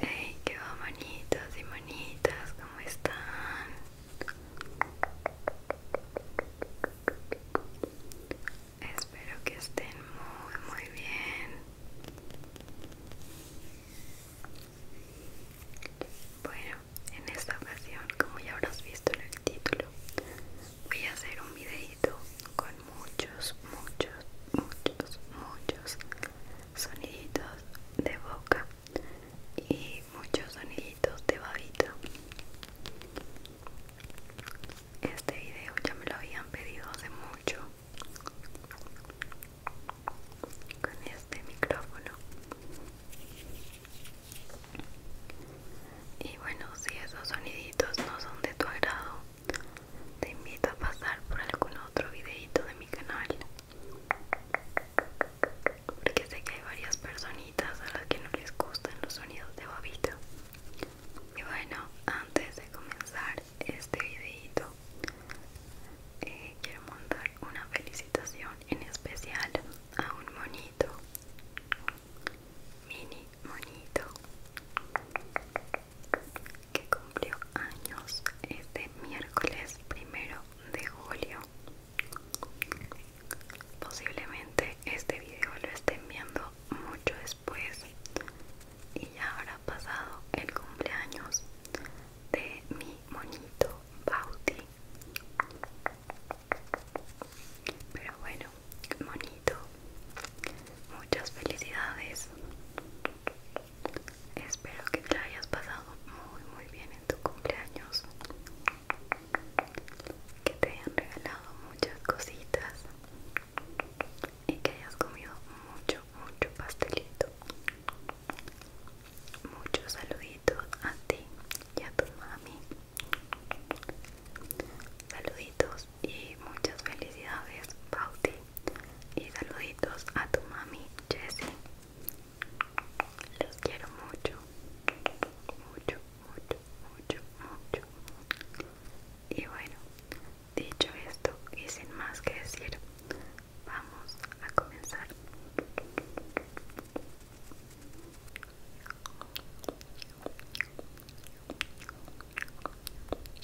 Hey, qué va bonitos y manitas? ¿cómo están? Espero que estén muy, muy bien. Bueno, en esta ocasión, como ya habrás visto en el título, voy a hacer un videito con muchos, muchos, muchos, muchos soniditos de boca y muchos soniditos de babita. Este video ya me lo habían pedido hace mucho con este micrófono. Y bueno, si esos soniditos no son de tu agrado, te invito a pasar por algún otro videito de mi canal porque sé que hay varias personitas a las que no les gustan los sonidos de bobito y bueno antes de comenzar este videito eh, quiero mandar una felicitación en especial a un monito mini monito que cumplió años este miércoles primero de julio. Posiblemente este video lo estén viendo mucho después y ya habrá pasado el cumpleaños de mi monito Bauti. Pero bueno, monito muchas felicidades espero que te hayas pasado muy muy bien en tu cumpleaños que te hayan regalado muchas cositas y que hayas comido mucho mucho pastelito muchos saluditos a ti y a tu mami saluditos y muchas felicidades, Pauti. Y saluditos a tu mami, Jessie. Los quiero mucho, mucho, mucho, mucho, mucho. Y bueno, dicho esto y sin más que decir, vamos a comenzar.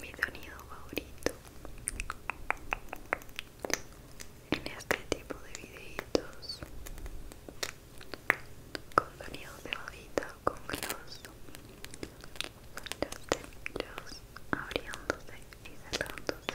mi sonido favorito en este tipo de videitos con sonidos de bobita, con gloss los dedos abriéndose y cerrándose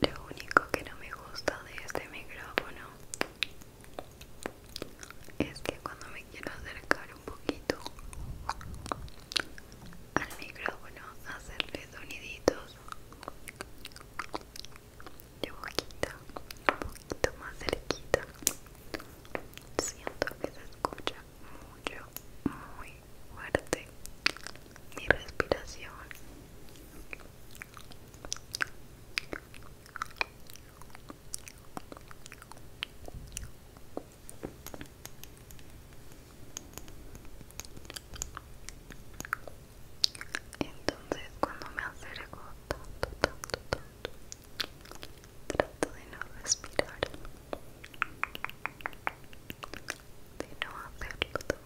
Lo único que no me gusta de este micrófono es que cuando me quiero acercar un poquito al micrófono, hacerle soniditos de boquita, un poquito más cerquita, siento que se escucha mucho, muy fuerte mi respiración entonces cuando me acerco tanto, tanto, tanto, trato de no respirar, de no hacerlo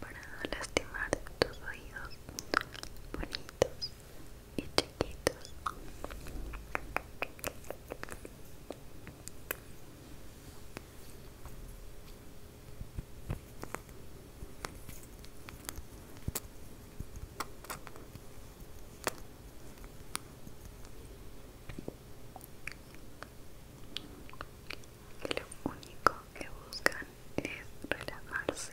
para lastimar tus oídos bonitos y chiquitos. Lo único que buscan es relajarse.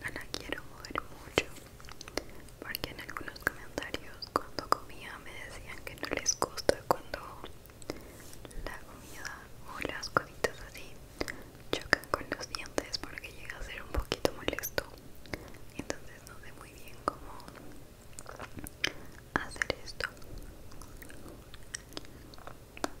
No la quiero mover mucho porque en algunos comentarios cuando comía me decían que no les gusta cuando la comida o las cositas así chocan con los dientes porque llega a ser un poquito molesto. Entonces no sé muy bien cómo hacer esto.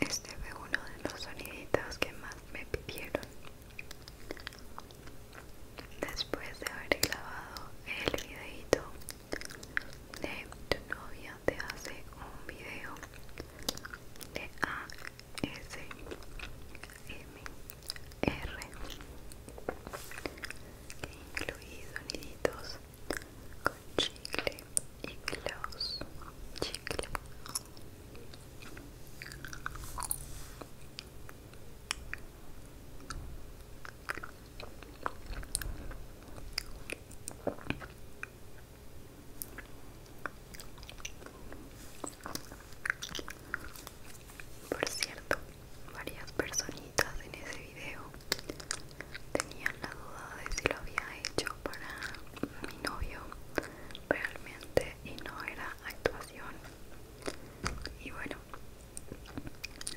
Este fue uno de los soniditos que más me pidieron. Después de haber grabado el videito de tu novia te hace un video de ASM R que incluido soniditos con chicle y gloss chicle por cierto varias personitas en ese video tenían la duda de si lo había hecho para mi novio realmente y no era actuación y bueno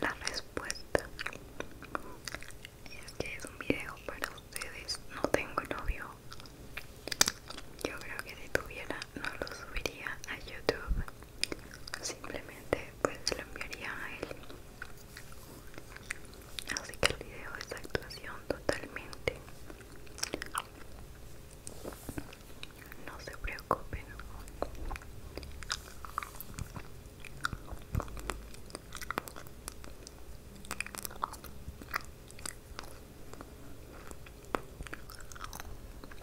la respuesta es que es un video para ustedes no tengo novio yo creo que si tuviera no lo subiría a youtube simplemente pues lo enviaría a él así que el video es actuación totalmente no se preocupen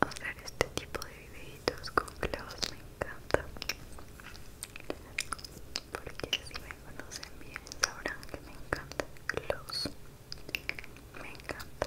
Hacer este tipo de videitos con clavos me encanta Porque si me conocen bien sabrán que me encanta los Me encanta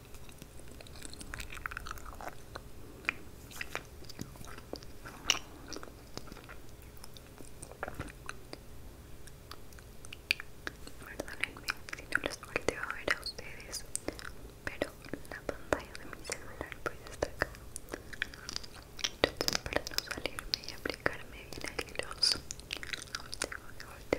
Perdónenme si no les volteo a ver a ustedes, pero la pantalla de mi celular pues está acá. para no salirme y aplicarme bien el tengo que voltear de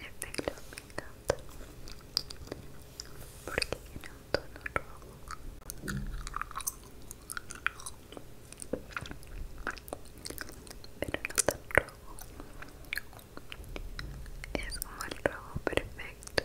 Este color me encanta porque tiene un tono rojo, pero no tan rojo. Es como el rojo perfecto.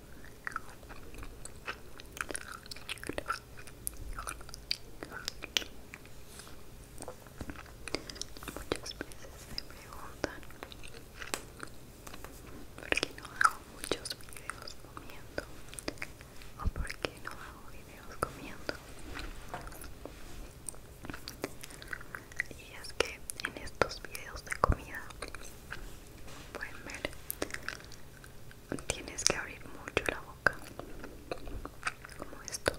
Muchas veces me preguntan por qué no hago muchos videos comiendo o por qué no hago videos comiendo. Y es que en estos videos de comida pueden ver tienes que abrir mucho la boca como esto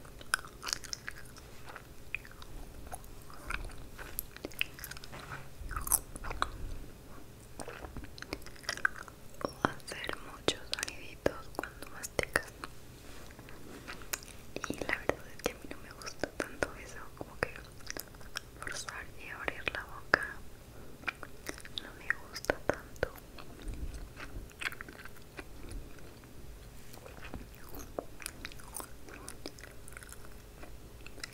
o hacer muchos soniditos cuando masticas y la verdad es que a mí no me gusta tanto eso como que forzar y abrir la boca no me gusta tanto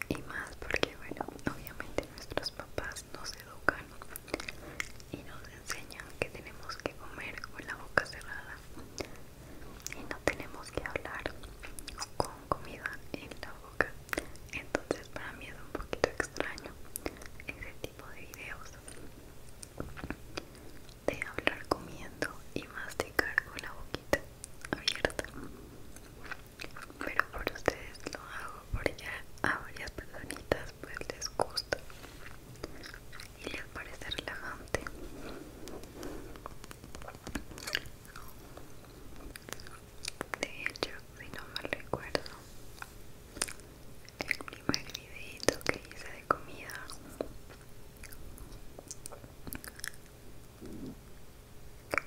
y más porque bueno obviamente nuestros papás nos educan y nos enseñan que tenemos que comer con la boca cerrada y no tenemos que hablar con comida en la boca entonces para mí es un poquito extraño ese tipo de videos de hablar comiendo y masticar con la boquita abierta pero por ustedes lo hago porque a varias personas pues les gusta y les parece relajante de hecho si no mal recuerdo el primer videito que hice de comida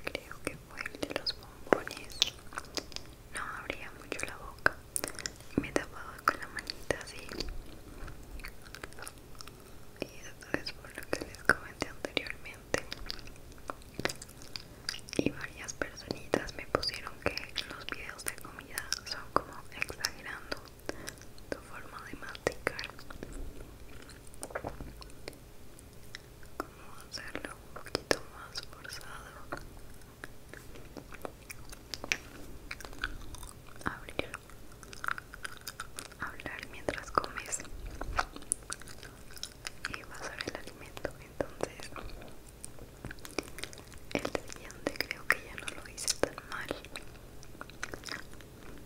creo que fue el de los bombones no abría mucho la boca me tapaba con la manita así y eso es por lo que les comenté anteriormente y varias personitas me pusieron que los videos de comida son como exagerando tu forma de masticar como hacerlo un poquito más forzado abrir hablar mientras comes y va el alimento entonces el siguiente creo que ya no lo hice tan mal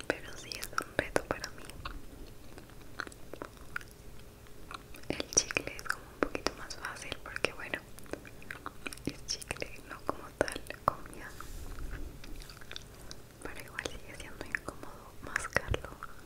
pero si es un reto para mí el chicle es como un poquito más fácil porque bueno es chicle no como tal comida pero igual sigue siendo incómodo mascarlo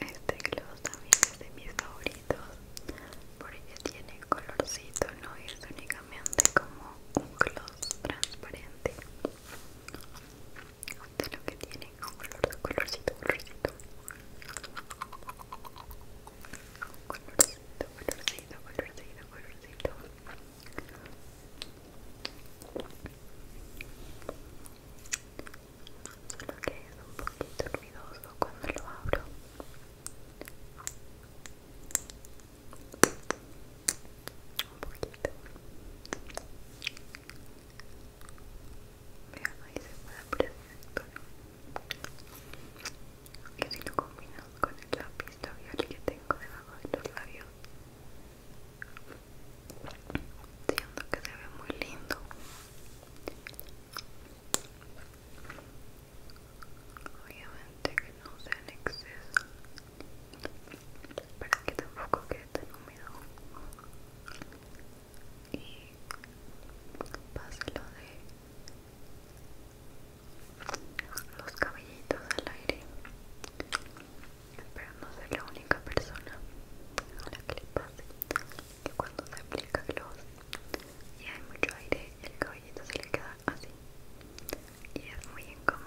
Este gloss también es de mis favoritos porque tiene colorcito, no es únicamente como un gloss transparente de este lo que tiene color, colorcito, colorcito colorcito, colorcito, colorcito, colorcito solo que es un poquito ruidoso cuando lo abro un poquito vean ahí se puede perfecto Que si lo combino con el lápiz labial que tengo debajo de los labios Siento que se ve muy lindo. Obviamente que no sea en exceso. Para que tampoco quede tan húmedo. Y lo de los cabellitos al aire pero no ser la única persona a la que le pase que cuando se aplica gloss y hay mucho aire, el cabellito se le queda así y es muy incómodo.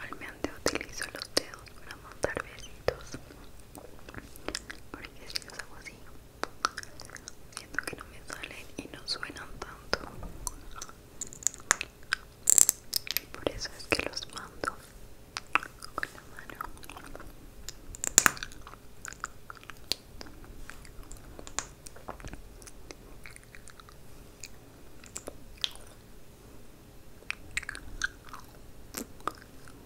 Normalmente utilizo los dedos para montar besitos porque si los hago así, siento que no me salen y no suenan tanto. por eso es que los mando con la mano.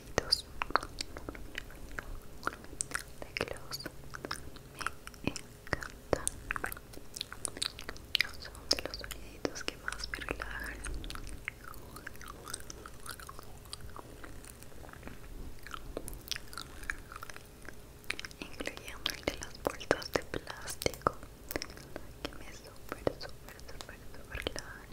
los de negritos Reglos me encantan son de los soniditos que más me relajan incluyendo el de las bolsas de plástico que me super super super super relajan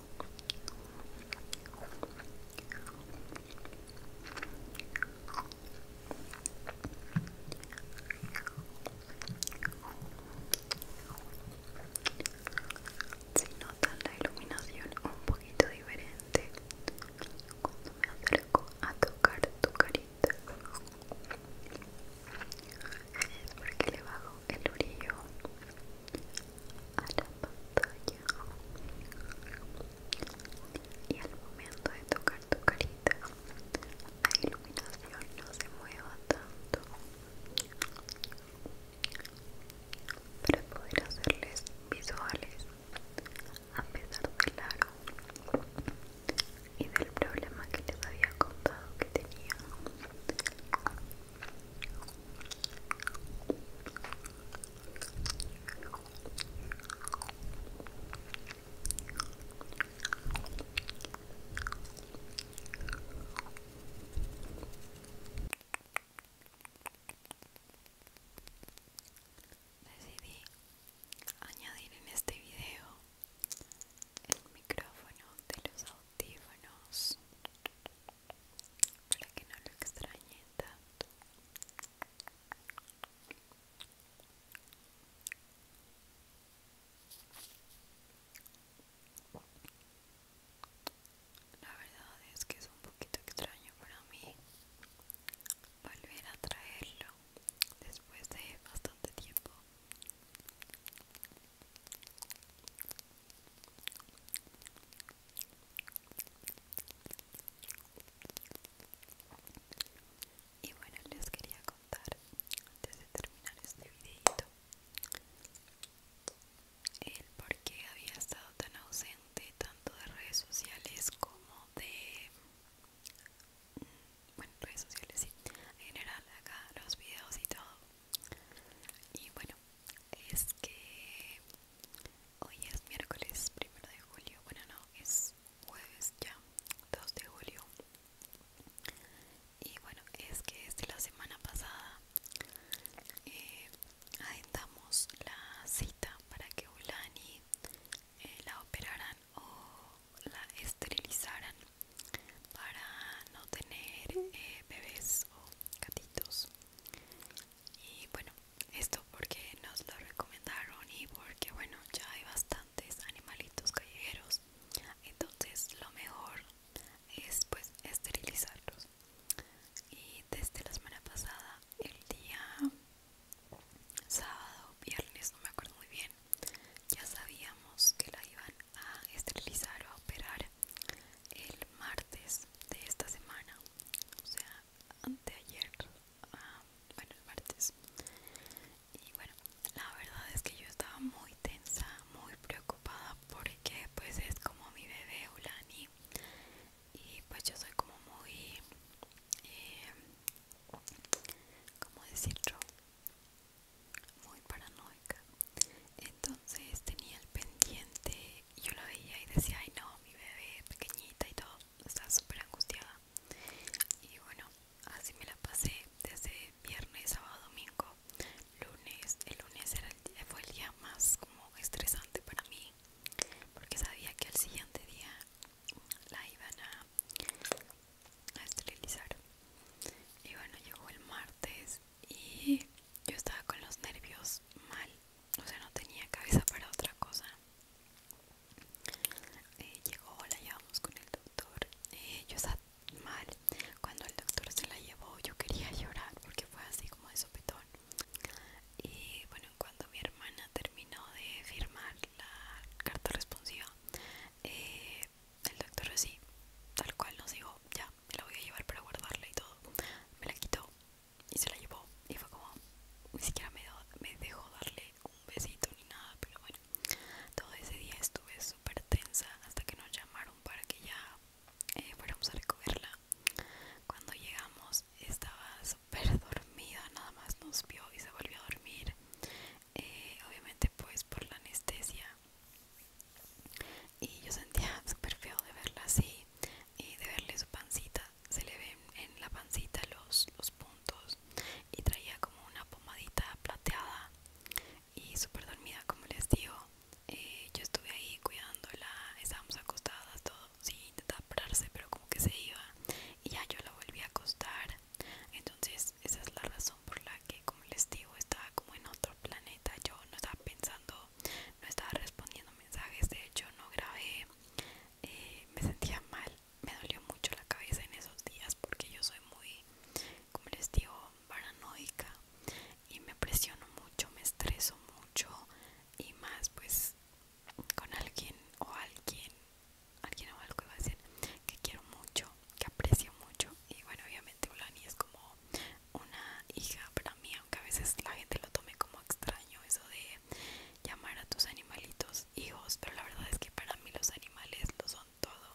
Si notan la iluminación un poquito diferente cuando me acerco a tocar tu carita es porque le bajo el orillo a la pantalla y al momento de tocar tu carita la iluminación no se mueva tanto para poder hacerles visuales a pesar claro y del problema que les había contado que tenía Decidí añadir en este video el micrófono de los audífonos para que no lo extrañe tanto la verdad es que es un poquito extraño para mí volver a traerlo después de bastante tiempo y bueno, les quería contar antes de terminar este videito el por qué había estado tan ausente tanto de redes sociales como de mm, bueno, redes sociales sí, en general acá los videos y todo y bueno, es que hoy es miércoles primero de julio, bueno no, es jueves ya, 2 de julio. Y bueno, es que desde la semana pasada eh, la cita para que Ulani eh, la operaran o la esterilizaran para no tener eh, bebés o gatitos y bueno, esto porque nos lo recomendaron y porque bueno, ya hay bastantes animalitos callejeros. Entonces lo mejor es pues esterilizarlos. Y desde la semana pasada, el día sábado, viernes, no me acuerdo muy bien, ya sabíamos que la iban a esterilizar o a operar el martes de esta semana, o sea, anteayer, ah, bueno, el martes. Y bueno, la verdad es que yo estaba muy tensa, muy preocupada porque pues es como mi bebé Ulani y pues yo soy como muy, como eh, ¿cómo decirlo? Muy paranoica entonces tenía el pendiente y yo lo veía y decía ay no mi bebé pequeñita y todo está súper angustiada y bueno así me la pasé desde viernes sábado domingo lunes el lunes era el fue el día más como estresante para mí porque sabía que al siguiente día la iban a, a esterilizar y bueno llegó el martes y yo estaba con los nervios mal, o sea, no tenía cabeza para otra cosa. Eh, llegó, la llevamos con el doctor, eh, yo estaba mal. Cuando el doctor se la llevó, yo quería llorar porque fue así como de sopetón. Y bueno, cuando mi hermana terminó de firmar la carta responsiva, eh, el doctor así, tal cual nos dijo, ya, me la voy a llevar para guardarla y todo. Me la quitó y se la llevó y fue como ni siquiera me, dejó darle un besito ni nada pero bueno todo ese día estuve súper tensa hasta que nos llamaron para que ya eh, fuéramos a recogerla cuando llegamos estaba súper dormida nada más nos vio y se volvió a dormir eh, obviamente pues por la anestesia y yo sentía súper feo de verla así y de verle su pancita se le ven en la pancita los, los puntos y traía como una pomadita plateada y súper dormida como les digo eh, yo estuve ahí cuidándola estábamos acostadas todo sin sí, pararse pero como que se iba y ya yo la volví a acostar entonces esa es la razón por la que como les digo estaba como en otro planeta yo no estaba pensando no estaba respondiendo mensajes de hecho no grabé eh, me sentía mal me dolió mucho la cabeza en esos días porque yo soy muy como les digo paranoica y me presiono mucho me estreso mucho y más pues con alguien o alguien alguien o algo iba a decir que quiero mucho que aprecio mucho y bueno obviamente Ulani es como una hija para mí, aunque a veces la gente lo tome como extraño eso de llamar a tus animalitos hijos, pero la verdad es que para mí los animales lo son todo.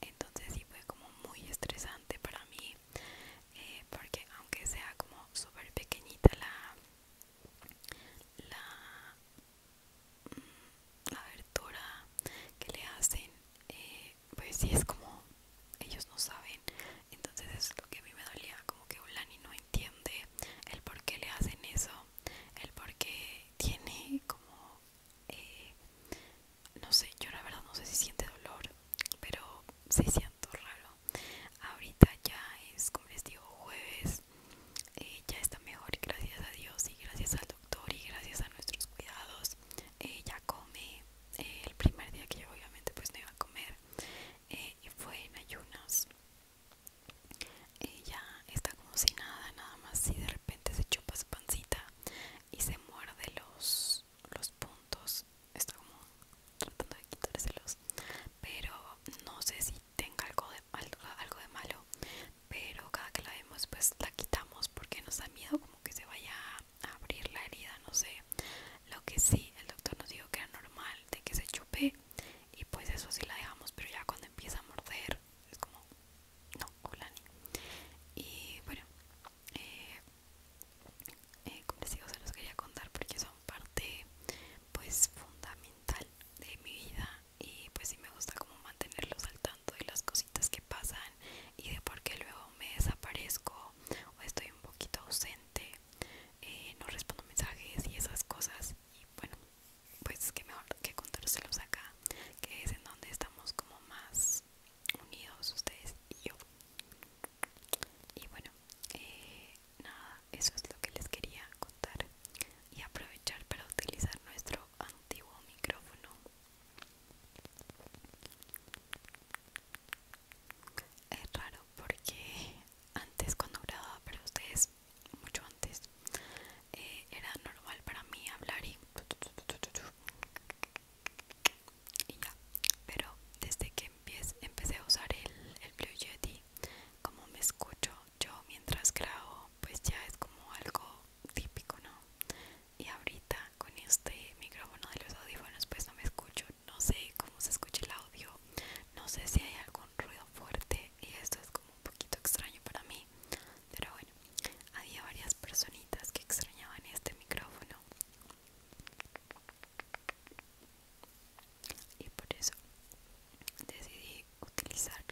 Entonces sí fue como muy estresante para mí, eh, porque aunque sea como súper pequeñita la... la mm, abertura que le hacen eh, pues sí es como ellos no saben entonces es lo que a mí me dolía como que Ulani no entiende el por qué le hacen eso el por qué tiene como eh, no sé yo la verdad no sé si siente dolor pero se siento raro ahorita ya es como les digo jueves eh, ya está mejor y gracias a Dios y gracias al doctor y gracias a nuestros cuidados Ella eh, come el primer día que yo obviamente pues no iba a comer eh, y fue en ayunas. Ella está como sin nada, nada más y de repente se chupa su pancita y se muerde los, los puntos. Está como tratando de quitárselos, pero no sé si tenga algo de, algo de malo. Pero cada que la vemos, pues la quitamos porque nos da miedo como que se vaya a abrir la herida, no sé. Lo que sí, el doctor nos dijo que era normal de que se chupe y pues eso sí la dejamos, pero ya cuando empieza a morder es como, no, hola ni. Y bueno, eh, eh, como les digo, se los quería contar porque son parte pues fundamental de mi vida y pues sí me gusta como mantenerlos al tanto de las cositas que pasan y de por qué luego me desaparezco o estoy un poquito ausente eh, no respondo mensajes y esas cosas y bueno pues que mejor que contárselos acá que es en donde estamos como más unidos ustedes y yo y bueno eh, nada eso es lo que les quería contar y aprovechar para utilizar nuestro antiguo micrófono es raro porque antes cuando grababa para ustedes, mucho antes, eh, era normal para mí hablar y... ya, pero desde que empecé, empecé a usar el, el Blue Yeti, como me escucho yo mientras grabo, pues ya es como algo típico, ¿no? Y ahorita con este micrófono de los audífonos, pues no me escucho no sé cómo se escucha el audio, no sé si hay algún ruido fuerte y esto es como un poquito extraño para mí, pero bueno, había varias personitas que extrañaban este micrófono y por eso decidí utilizarlo.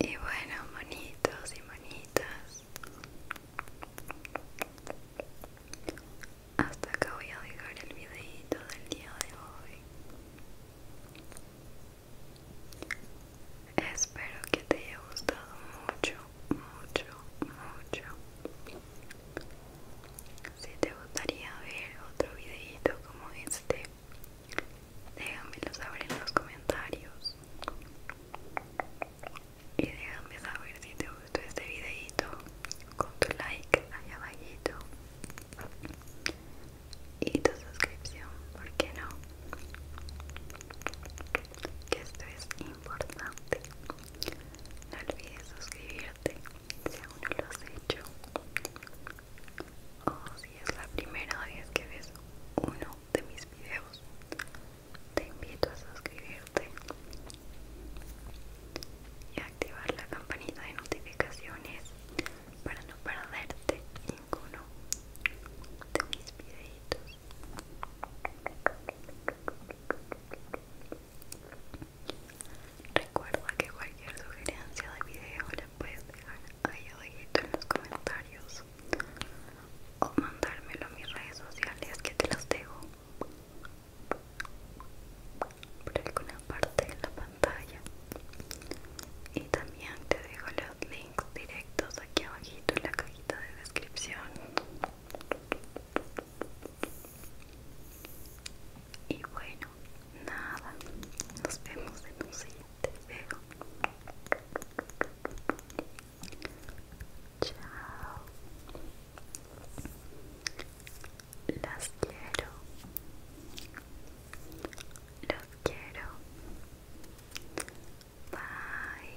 Y bueno, monitos y monitas. Hasta acá voy a dejar el videito del día de hoy. Espero que te haya gustado mucho, mucho, mucho. Si te gustaría ver otro videito como este, Déjamelo saber en los comentarios. Y déjame saber si te gustó este videito con tu like allá abajito y tu suscripción, ¿por qué no? Que esto es importante. No olvides suscribirte si aún no lo has hecho o si es la primera vez que ves uno de mis videos, te invito a suscribirte y activar la campanita de notificaciones para no perderte ninguno de mis videitos. Recuerda que cualquier sugerencia de video la puedes dejar ahí abajito en los comentarios o mandármelo a mis redes sociales que te las dejo por alguna parte de la pantalla y también te dejo los links directos aquí abajito en la cajita de descripción y bueno nada nos vemos en un siguiente te veo. Chao. Las quiero. Los quiero. Bye.